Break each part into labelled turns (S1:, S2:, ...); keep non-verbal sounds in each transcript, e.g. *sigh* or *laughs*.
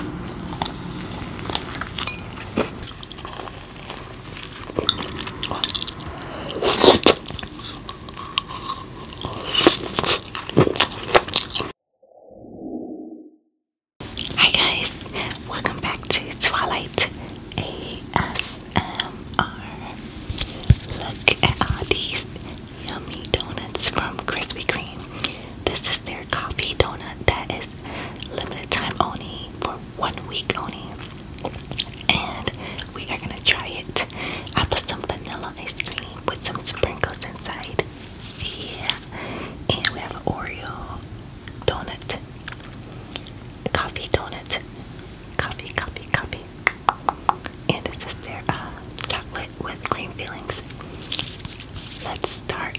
S1: Hi guys, welcome back to Twilight ASMR. Look at all these yummy donuts from Krispy Kreme. This is their coffee donut that is limited time only for one week only. And we are gonna try it. I put some vanilla ice cream with some sprinkles inside. Yeah. And we have an Oreo donut. Coffee donut. Coffee, coffee, coffee. And this is their uh, chocolate with cream fillings. Let's start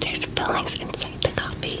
S1: there's fillings inside the copy.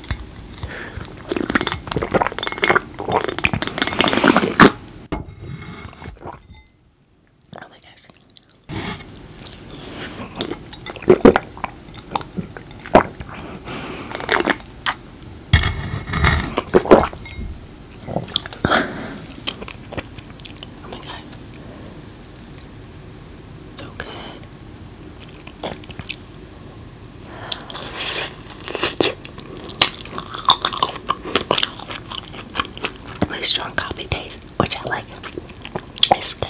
S1: Oh my gosh. Oh my god. So good. Really strong coffee taste, which I like. It's good.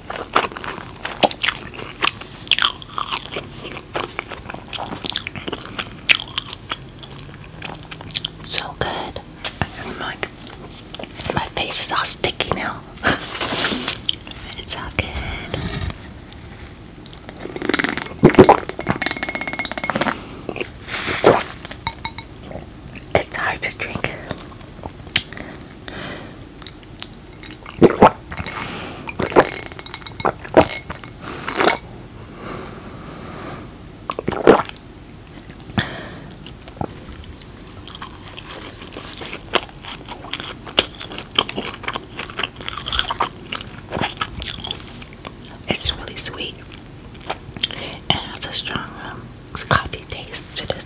S1: So good. I'm like, my face is all sticky now. *laughs* it's all good. It's hard to drink. It's really sweet and has a strong um, coffee taste to this.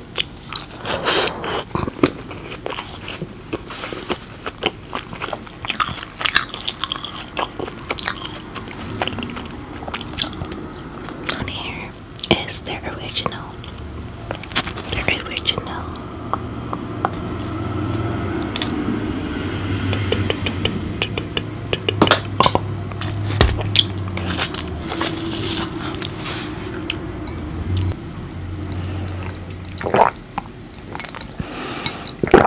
S1: On here is their original. Their original. On the edge,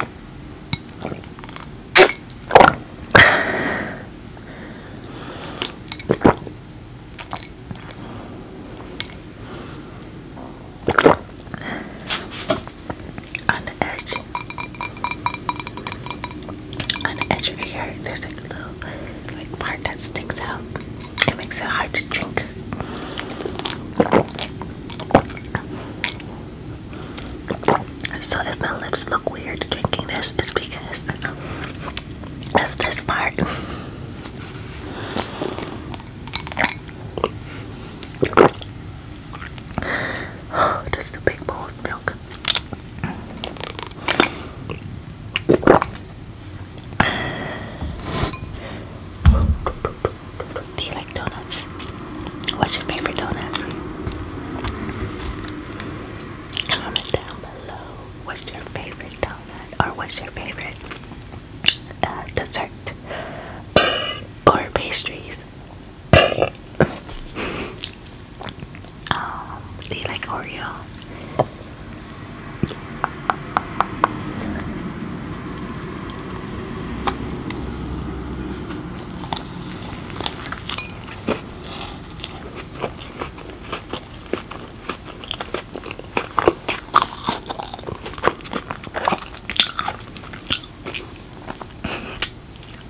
S1: on the edge of your there's like a little like part that sticks out. It makes it hard to drink. So if my lips look weird drinking this, it's because of this part. Oh, *gasps* that's the big bowl of milk. Do you like donuts? What's your favorite donut? Comment down below. What's your favorite donut? Or what's your favorite uh, dessert? or pastries? Um, do you like Oreo?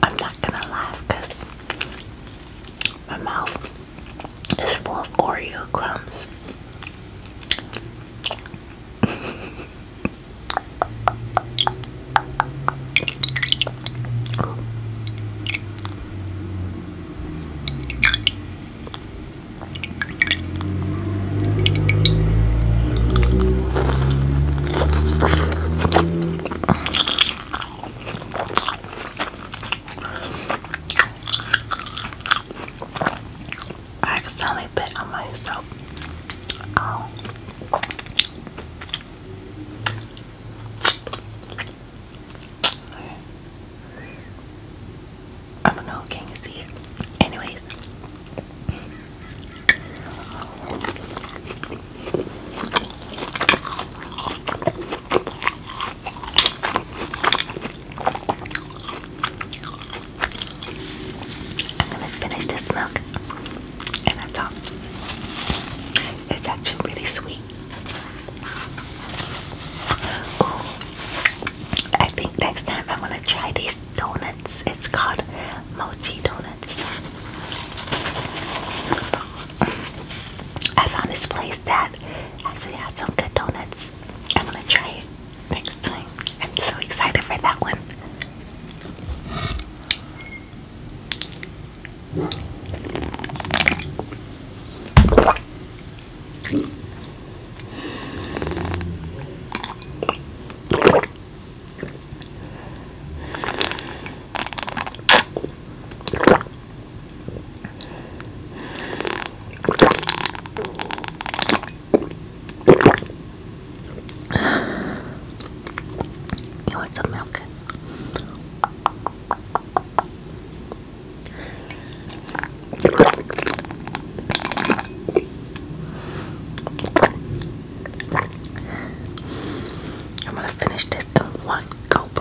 S1: I'm not gonna laugh because my mouth it's full of Oreo crumbs. I accidentally bit on myself. Oh. I don't know, can you see it? Anyways. I'm gonna finish this milk and that's all. It's actually really sweet. I think next time I'm gonna try these donuts. It's called mochi donuts. I found this place that actually had some good donuts. I'm gonna try it next time. I'm so excited for that one. You want some milk? I'm gonna finish this in one gulp.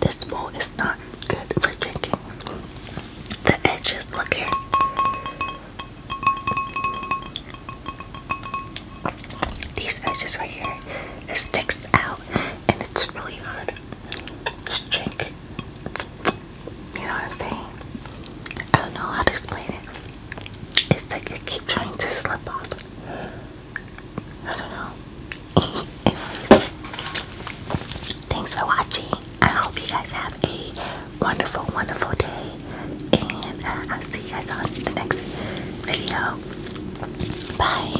S1: This bowl is not good for drinking. The edges, look here. These edges right here, it sticks out and it's really hard to drink. You know what I'm saying? I don't know how to explain it. It's like I keep trying to slip off. I don't know. Anyways, thanks for watching. I hope you guys have a wonderful, wonderful day. And uh, I'll see you guys on the next video. Bye.